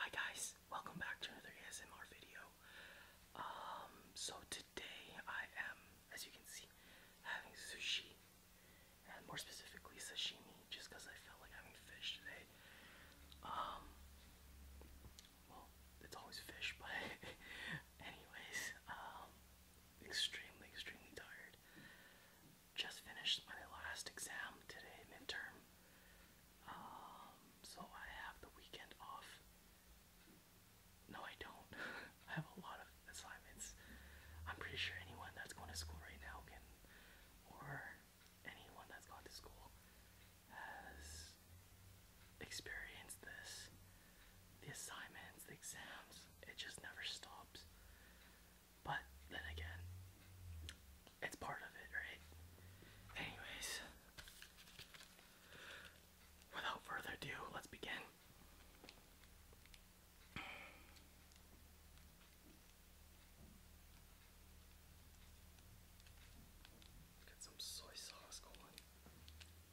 Hi guys, welcome back to another ASMR video. Um, so today I am, as you can see, having sushi, and more specifically sashimi, just because I felt like having fish today. Um, well, it's always fish, but anyways, um, extremely, extremely tired. Just finished my last exam today, midterm. Um, so I have the weekend off. No, I don't. I have a lot of assignments. I'm pretty sure anyone that's going to school right now can, or anyone that's gone to school has experience this. The assignments, the exams, it just never stops. But then again, it's part of it, right? Anyways, without further ado, let's begin. Get some soy sauce going.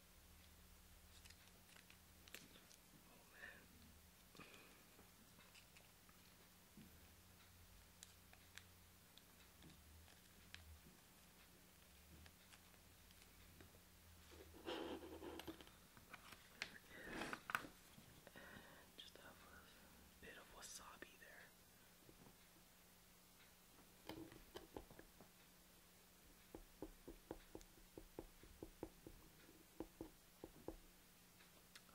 Oh man. And just have a bit of wasabi there.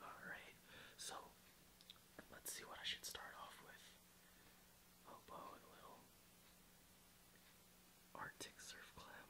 Alright, so let's see what I should start off with. Hobo little Arctic surf clam.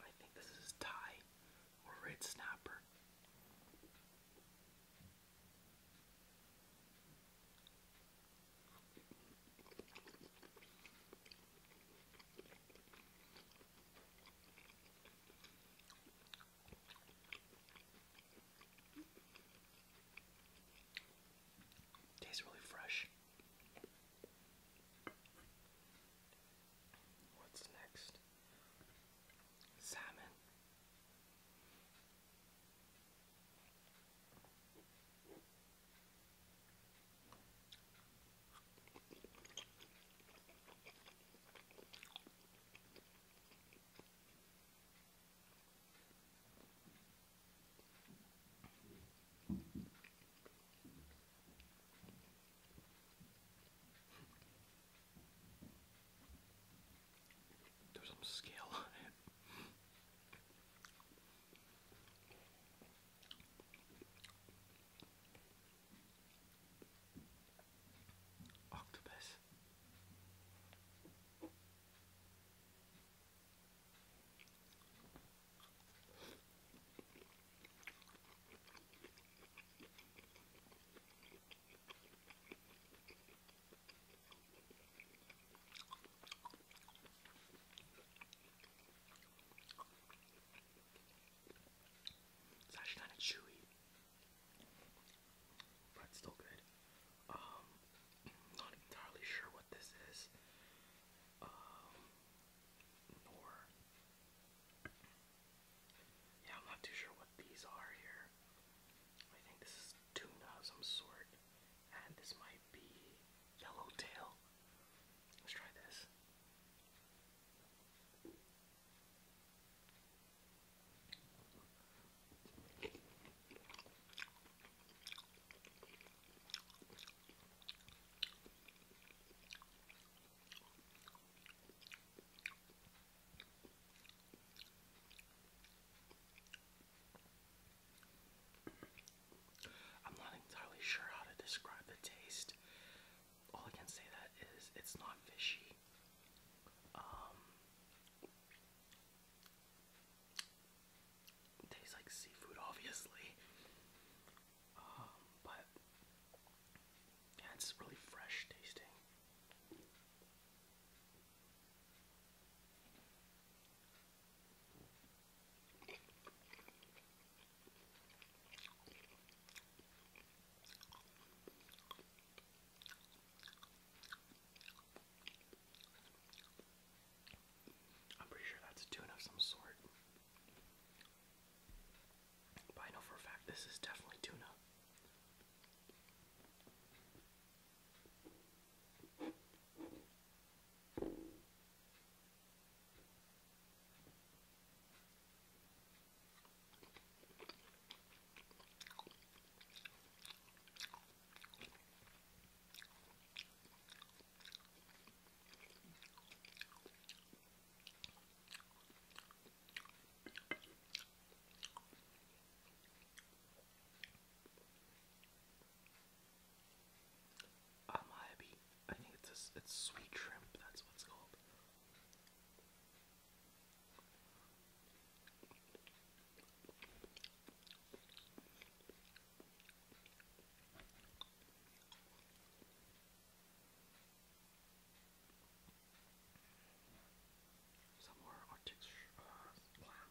I think this is Thai or red snapper. Tastes really fresh. What's next? Salmon. There's some scale on it. Octopus. It's actually kind of chewy but still good. Um, not entirely sure what this is, um, yeah, I'm not too sure what these are here. I think this is tuna of some sort, and this might be yellowtail. Let's try this. I'm not entirely sure how to describe the taste. All I can say that is it's not fishy. Um, tastes like seafood, obviously. Um, but yeah, it's really fresh tasting. I'm pretty sure that's a of some sort. But I know for a fact this is definitely tuna i I think it's it's sweet shrimp. That's what's called. Some more Arctic uh, plant.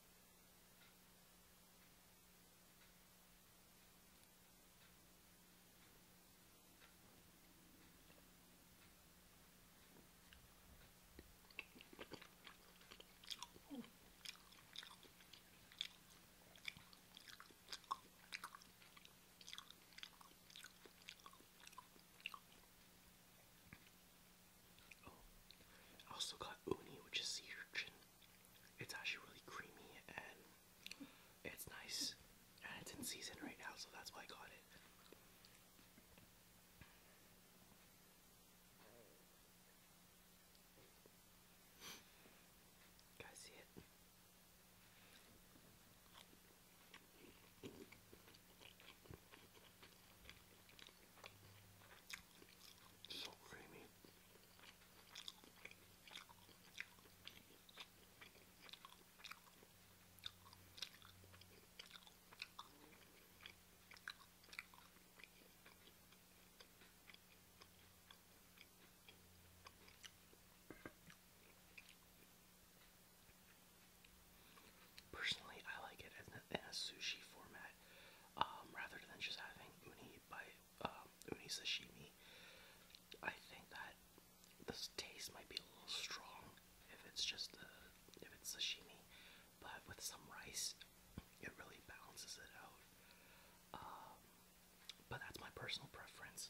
Oh, I also got uni, which is sea urchin. It's actually really creamy and it's nice. And it's in season right now, so that's why I got it. guys see it? So creamy. Personally, I like it in in a sushi format. Um, rather than just having uni by um, uni sashimi. I think that this taste might be a little strong if it's just the if it's sashimi, but with some rice, it really balances it out. Um, but that's my personal preference.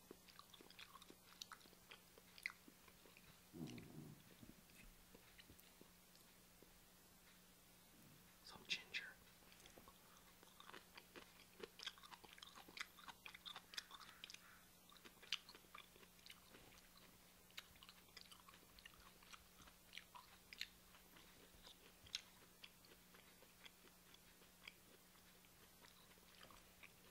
Some ginger.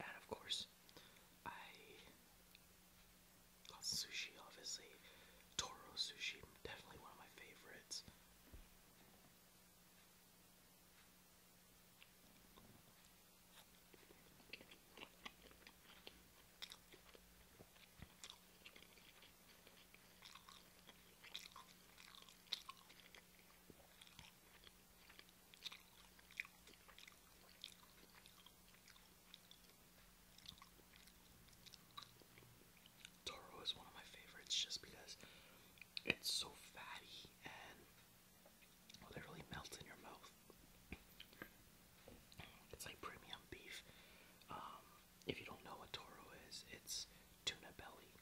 And of course, I sushi, obviously. Toro sushi, definitely one of my favorites. Toro is one of my favorites just because it's so fatty and literally melts in your mouth. It's like premium beef. Um, if you don't know what toro is, it's tuna belly.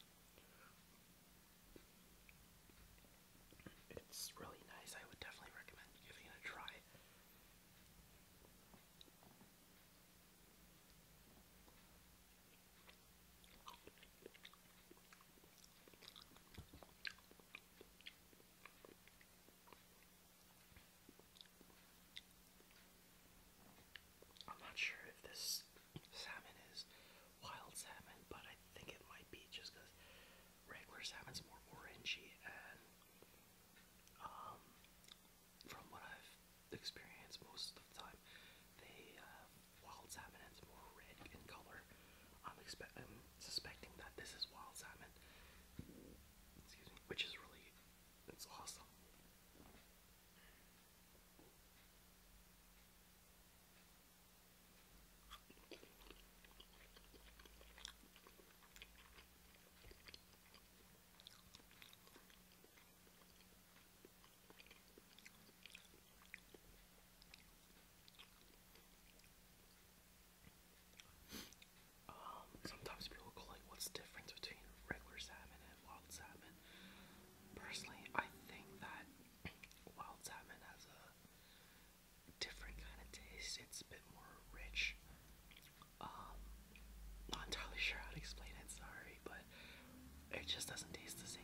It's really nice. I would definitely recommend giving it a try. I'm not sure if this salmon is wild salmon, but I think it might be just because regular salmon's more orangey and um, from what I've experienced most of the time, they um, wild salmon is more red in color. I'm, expe I'm suspecting that this is wild salmon, which is really it's awesome. Um, sometimes people go like, what's the difference between regular salmon Wild Salmon. Personally, I think that wild salmon has a different kind of taste. It's a bit more rich. Um, not entirely sure how to explain it. Sorry, but it just doesn't taste the same.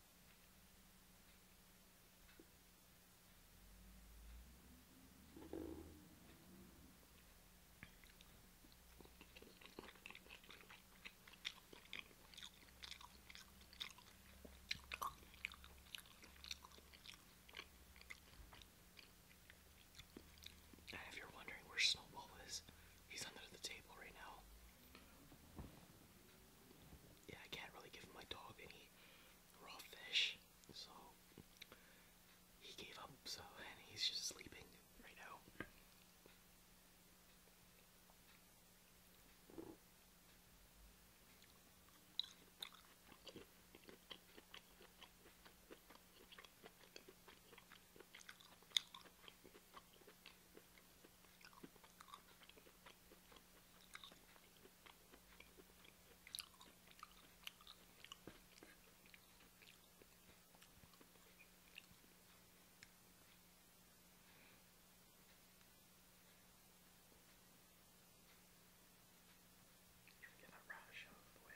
And if you're wondering where Snowball is, he's under the table right now. Yeah, I can't really give my dog any raw fish, so he gave up, so, and he's just sleeping right now. Try to get that rash out of the way.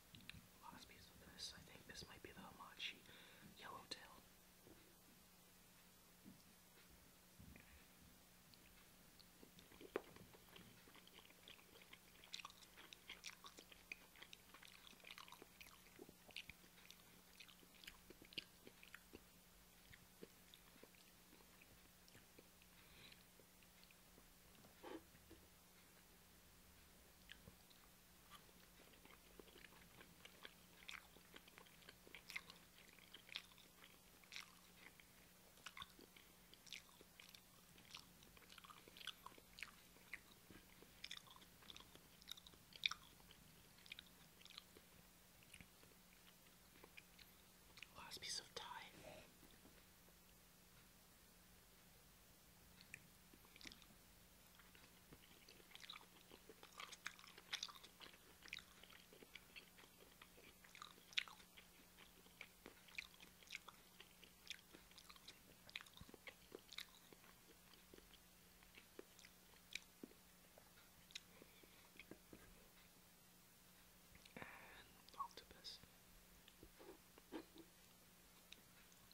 Last piece of this, I think this might be the Hamachi Yellowtail. Last piece of Thai. And octopus.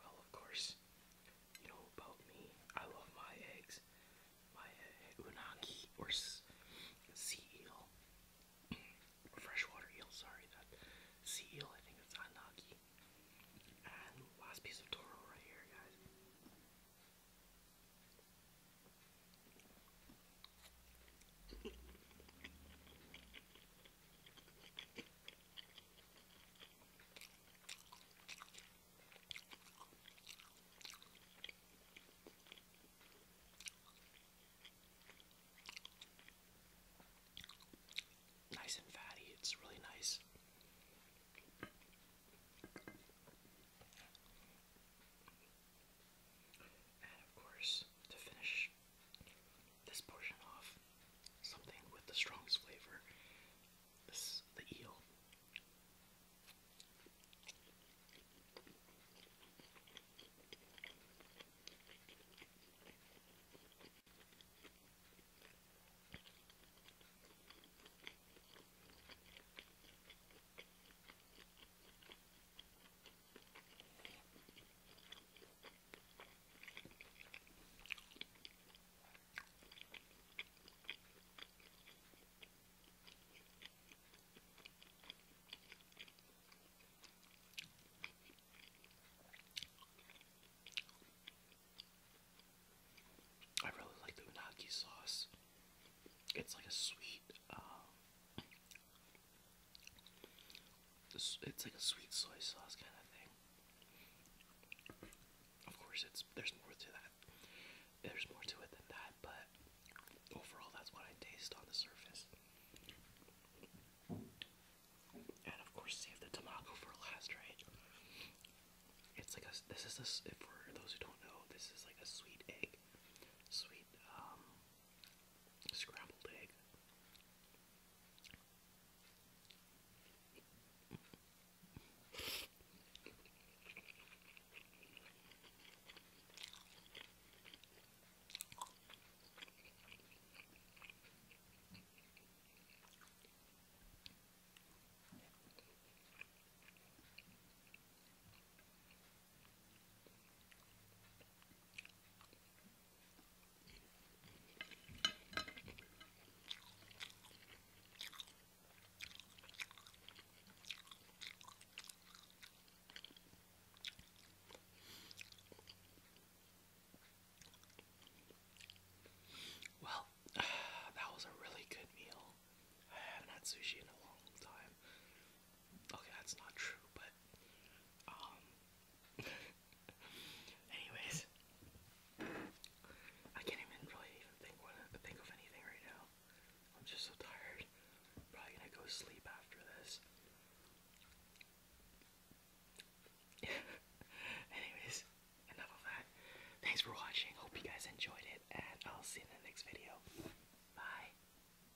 Well, of course, you know about me. I love my eggs. My unagi or sea eel, or freshwater eel. Sorry, that sea eel. I think it's unagi. And last piece of toro right here, guys. Nice and fatty, it's really nice. And of course, to finish, this portion off. Something with the strongest flavor. This the eel. I really like the unagi sauce. It's like a sweet, um, it's like a sweet soy sauce kind of thing. Of course, it's there's more to that. There's more to it than that, but overall, that's what I taste on the surface. And of course, save the tamago for last, right? It's like a. This is a. For those who don't know, this is like a sweet egg, sweet um, Scrambled egg. Well, that was a really good meal. I haven't had sushi in a long time. Okay, that's not true, but um anyways I can't even really even think of anything right now. I'm just so tired. Probably gonna go sleep after this. Anyways, enough of that. Thanks for watching. Hope you guys enjoyed it, and I'll see you in the next video. Bye.